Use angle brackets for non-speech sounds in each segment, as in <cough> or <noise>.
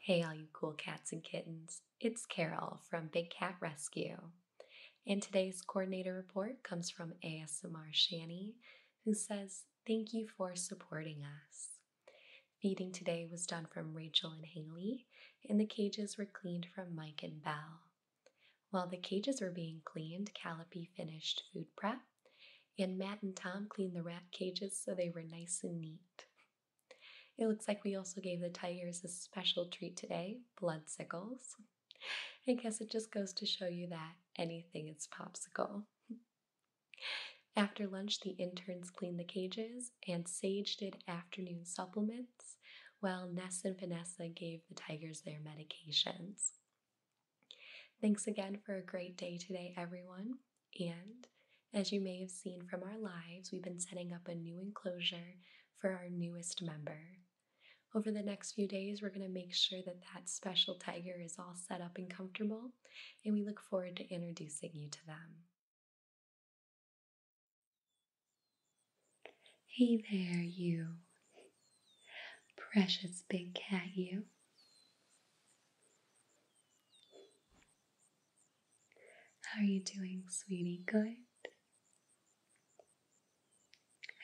Hey, all you cool cats and kittens. It's Carol from Big Cat Rescue. And today's coordinator report comes from ASMR Shani, who says, Thank you for supporting us. Feeding today was done from Rachel and Haley, and the cages were cleaned from Mike and Bell. While the cages were being cleaned, Calliope finished food prep, and Matt and Tom cleaned the rat cages so they were nice and neat. It looks like we also gave the tigers a special treat today blood sickles. I guess it just goes to show you that anything is popsicle. <laughs> After lunch, the interns cleaned the cages and Sage did afternoon supplements, while Ness and Vanessa gave the tigers their medications. Thanks again for a great day today, everyone. And as you may have seen from our lives, we've been setting up a new enclosure for our newest member. Over the next few days, we're going to make sure that that special tiger is all set up and comfortable, and we look forward to introducing you to them. Hey there, you. Precious big cat, you. How are you doing, sweetie? Good?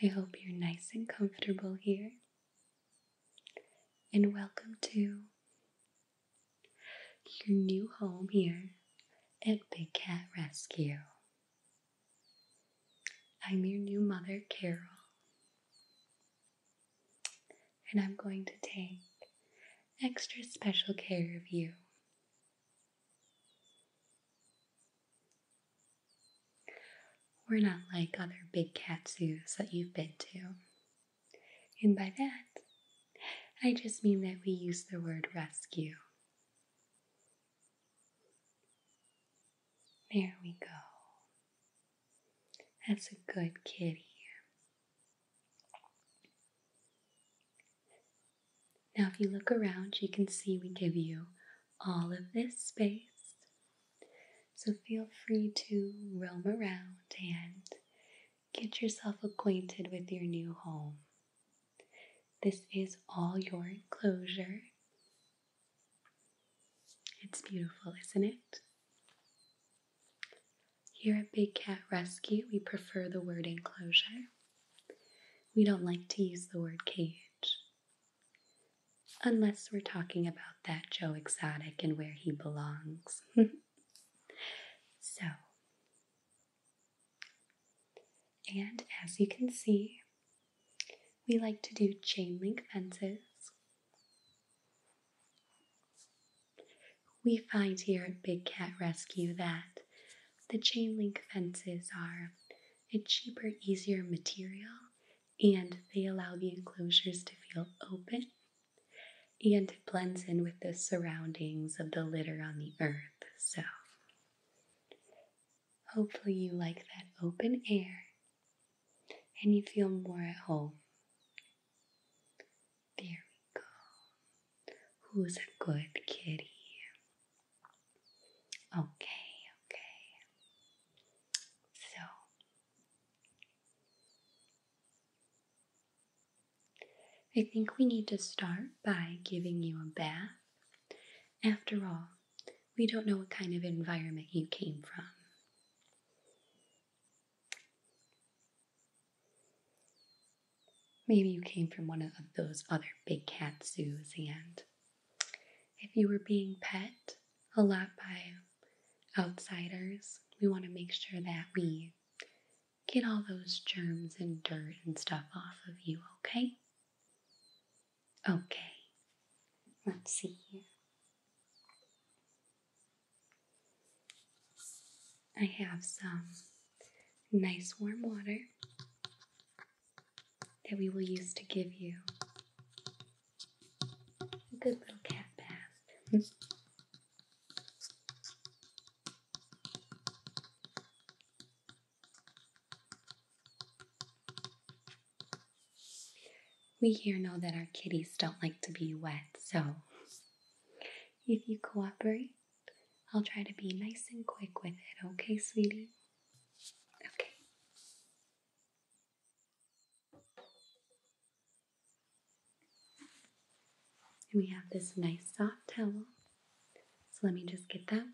I hope you're nice and comfortable here. And welcome to your new home here at Big Cat Rescue. I'm your new mother, Carol, and I'm going to take extra special care of you. We're not like other big cat zoos that you've been to. And by that, I just mean that we use the word rescue. There we go. That's a good kid here. Now, if you look around, you can see we give you all of this space. So feel free to roam around and Get yourself acquainted with your new home. This is all your enclosure. It's beautiful, isn't it? Here at Big Cat Rescue, we prefer the word enclosure. We don't like to use the word cage. Unless we're talking about that Joe Exotic and where he belongs. <laughs> So, and as you can see, we like to do chain link fences. We find here at Big Cat Rescue that the chain link fences are a cheaper, easier material and they allow the enclosures to feel open and it blends in with the surroundings of the litter on the earth. So, hopefully, you like that open air and you feel more at home. There we go. Who's a good kitty? Okay, okay. So, I think we need to start by giving you a bath. After all, we don't know what kind of environment you came from. Maybe you came from one of those other big cat zoos, and if you were being pet a lot by outsiders, we want to make sure that we get all those germs and dirt and stuff off of you, okay? Okay, let's see here. I have some nice warm water that we will use to give you a good little cat bath. We here know that our kitties don't like to be wet, so if you cooperate, I'll try to be nice and quick with it, okay, sweetie? Okay. And we have this nice soft towel. So let me just get that wet.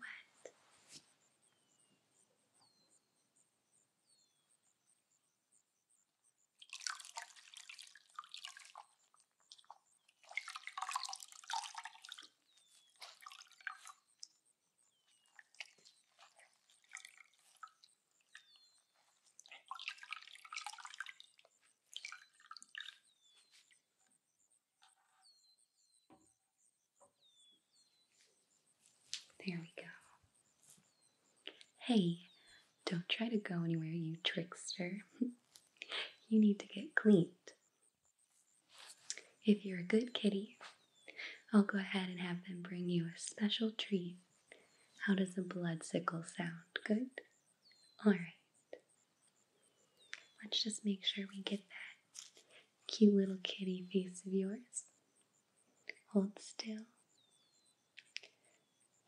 There we go. Hey, don't try to go anywhere, you trickster. <laughs> you need to get cleaned. If you're a good kitty, I'll go ahead and have them bring you a special treat. How does a blood sickle sound? Good? Alright. Let's just make sure we get that cute little kitty face of yours. Hold still.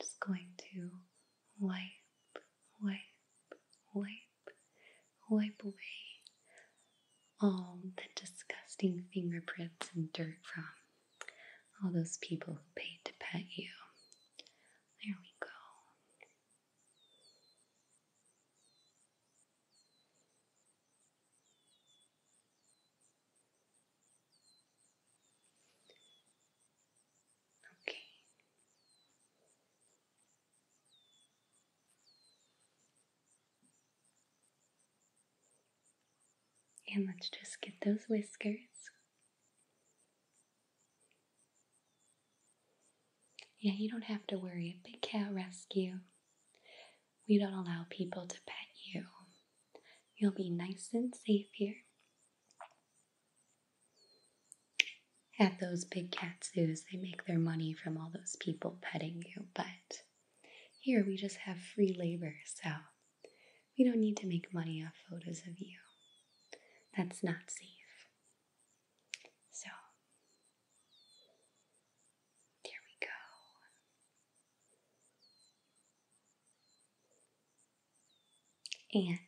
Just going to wipe, wipe, wipe, wipe away all the disgusting fingerprints and dirt from all those people who paid to pet you. There we go. Okay. And let's just get those whiskers. Yeah, you don't have to worry. Big Cat Rescue. We don't allow people to pet you. You'll be nice and safe here. At those big cat zoos, they make their money from all those people petting you, but here we just have free labor, so we don't need to make money off photos of you. That's not safe. So, there we go. And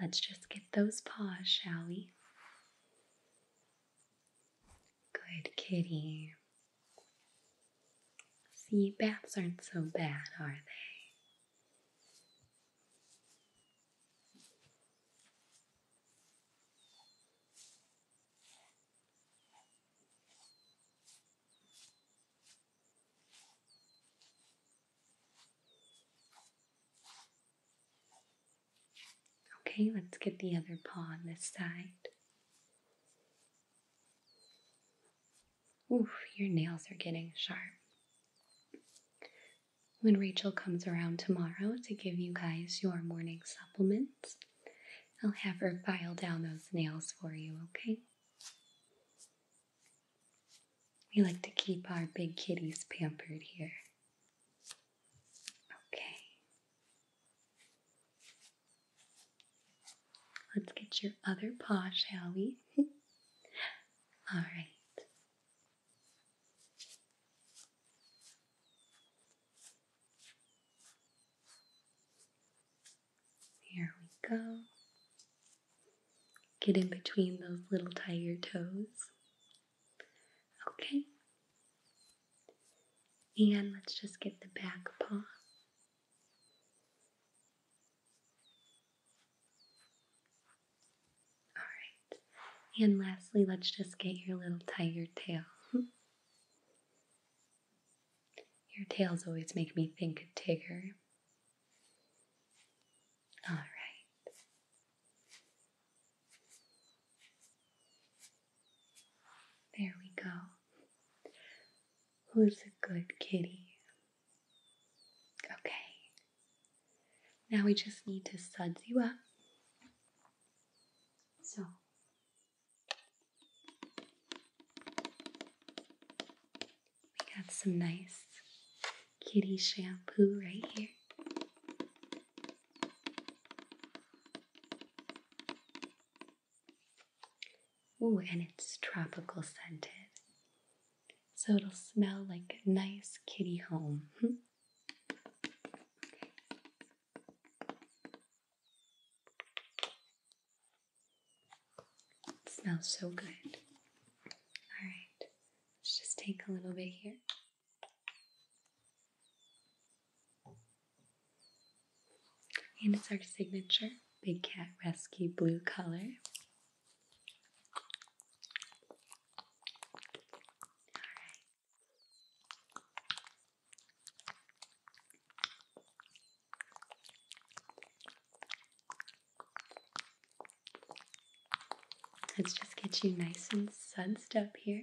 let's just get those paws, shall we? Good kitty. See, baths aren't so bad, are they? Okay, let's get the other paw on this side. Oof, your nails are getting sharp. When Rachel comes around tomorrow to give you guys your morning supplements, I'll have her file down those nails for you, okay? We like to keep our big kitties pampered here. Okay. Let's get your other paw, shall we? <laughs> All right. Here we go. Get in between those little tiger toes. Okay. And let's just get the back paw Alright, and lastly, let's just get your little tiger tail. <laughs> Your tails always make me think of Tigger. All right. There we go who's a good kitty. Okay. Now we just need to suds you up. So. We got some nice kitty shampoo right here. Ooh, and it's tropical scented. So it'll smell like a nice kitty home. Hmm. smells so good. All right, let's just take a little bit here. And it's our signature Big Cat Rescue blue color. right. Let's just get you nice and sunsed up here.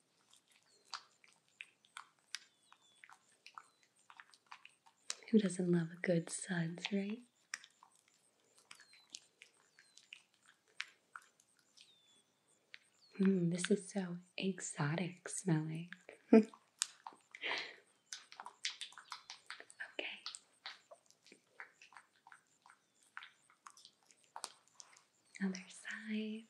Who doesn't love a good suds, right? Mm, this is so exotic smelling. <laughs> okay. Other side.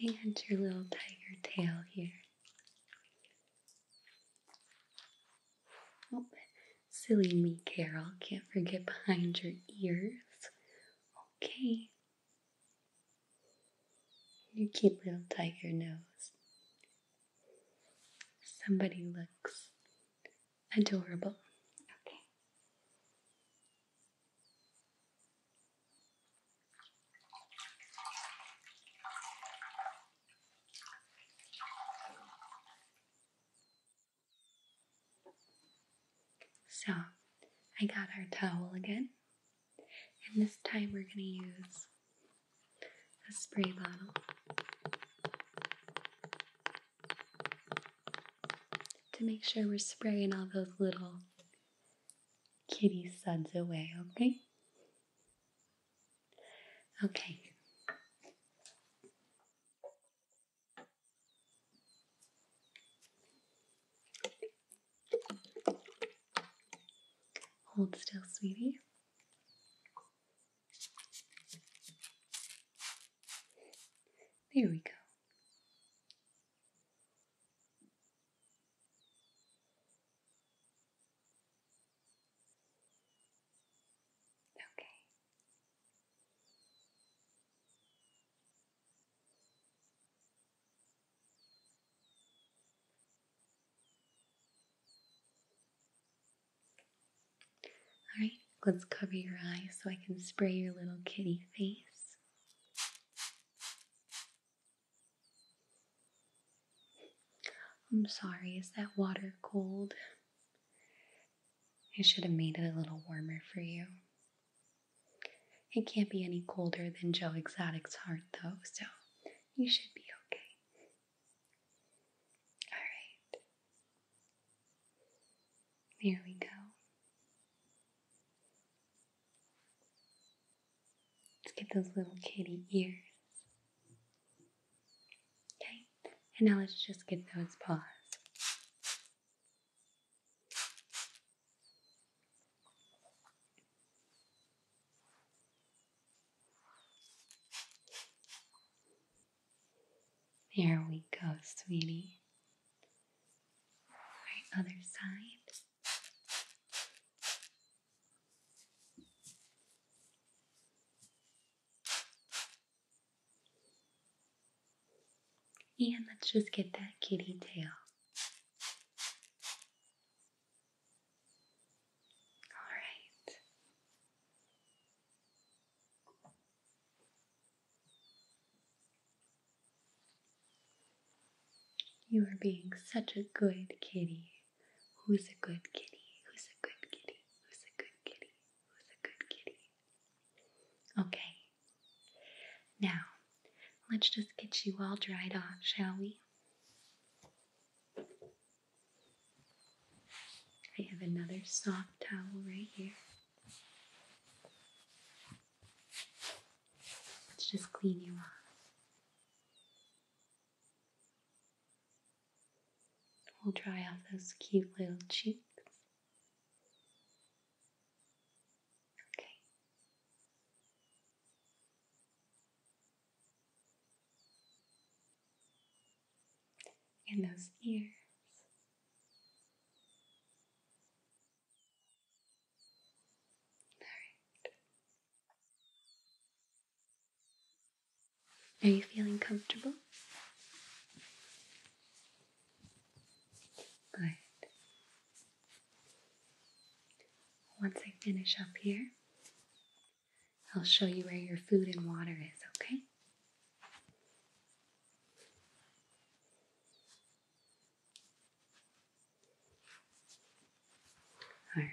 And your little tiger tail here. Oh, silly me, Carol. Can't forget behind your ears. Okay, you cute little tiger nose. Somebody looks adorable. Okay. So I got our towel again and this time we're going to use a spray bottle to make sure we're spraying all those little kitty suds away, okay? Okay. Hold still, sweetie. There we go. Okay. Alright, let's cover your eyes so I can spray your little kitty face. I'm sorry, is that water cold? I should have made it a little warmer for you. It can't be any colder than Joe Exotic's heart, though, so you should be okay. Alright. There we go. Let's get those little kitty ears. Okay, and now let's just get those paws. There we go, sweetie. All right, other side. And let's just get that kitty tail. All right. You are being such a good kitty. Who's a good kitty? Who's a good kitty? Who's a good kitty? Who's a good kitty? Okay, now, let's just get you all dried off, shall we? I have another soft towel right here. Let's just clean you off. We'll dry off those cute little cheeks. Okay. And those ears. Alright. Are you feeling comfortable? Good. Once I finish up here, I'll show you where your food and water is, okay? All right.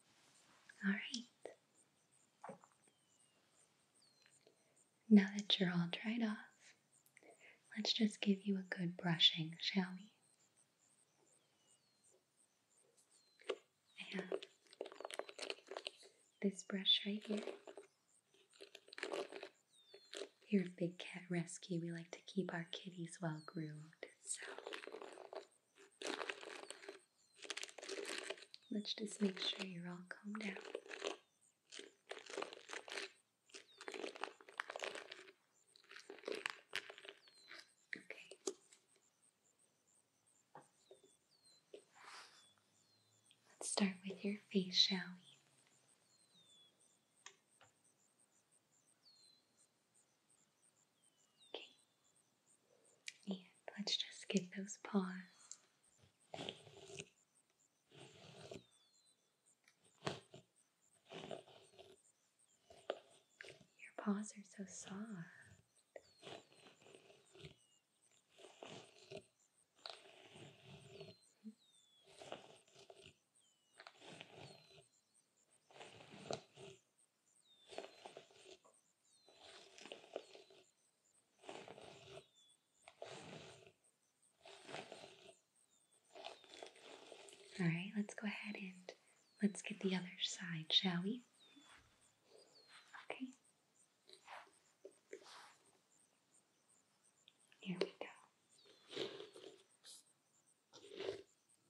All right. Now that you're all dried off, let's just give you a good brushing, shall we? I have this brush right here. Here at Big Cat Rescue, we like to keep our kitties well groomed, so Let's just make sure you're all calmed down. Okay. Let's start with your face, shall we? Okay. And let's just give those paws. Your paws are so soft. All right, let's go ahead and let's get the other side, shall we? Okay. Here we go.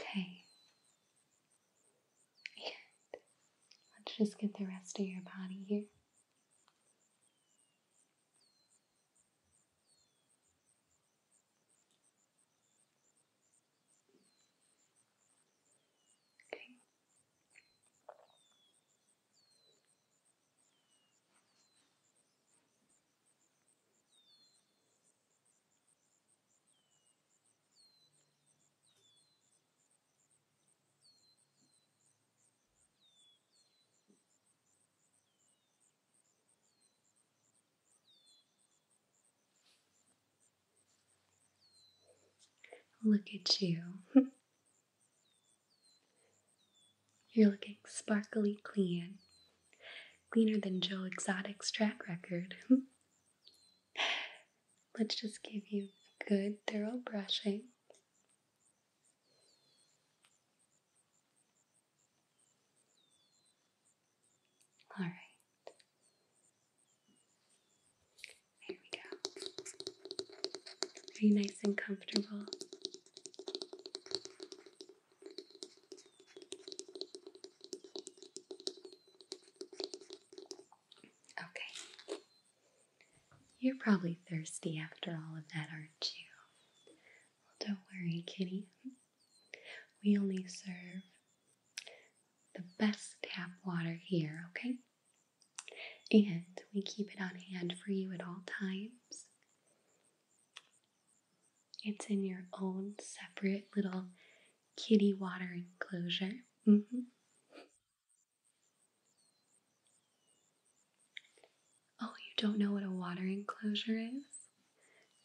Okay. let's just get the rest of your body here. Look at you. <laughs> You're looking sparkly clean. Cleaner than Joe Exotic's track record. <laughs> Let's just give you a good, thorough brushing. All right. Here we go. Are you nice and comfortable? Okay. You're probably thirsty after all of that, aren't you? Well, don't worry, kitty. We only serve the best tap water here, okay? and we keep it on hand for you at all times. It's in your own separate little kitty water enclosure. Mm-hmm. Oh, you don't know what a water enclosure is?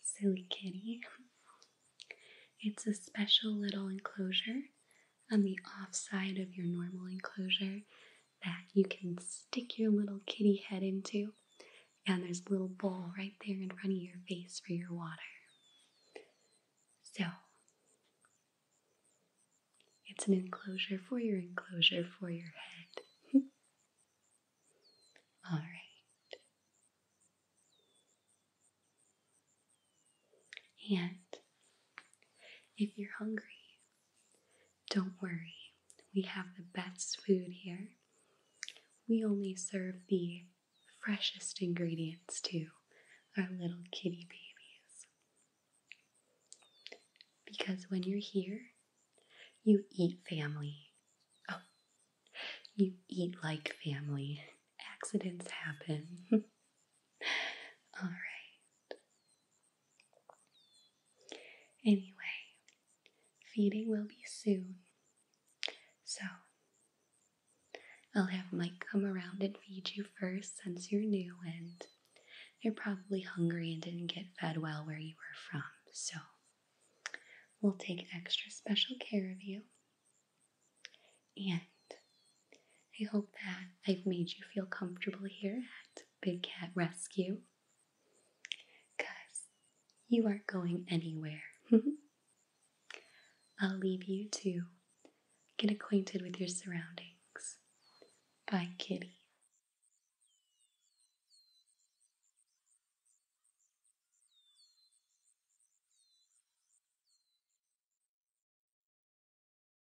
Silly kitty. It's a special little enclosure on the off side of your normal enclosure that you can stick your little kitty head into. And there's a little bowl right there in front of your face for your water. So, it's an enclosure for your enclosure for your head. <laughs> All right. And if you're hungry, don't worry, we have the best food here. We only serve the freshest ingredients to our little kitty babies. Because when you're here, you eat family. Oh, you eat like family. Accidents happen. <laughs> All right. Anyway, feeding will be soon. So, I'll have Mike come around and feed you first since you're new and you're probably hungry and didn't get fed well where you were from. So, we'll take extra special care of you. And I hope that I've made you feel comfortable here at Big Cat Rescue. Because you aren't going anywhere. <laughs> I'll leave you to get acquainted with your surroundings. Bye, kitty.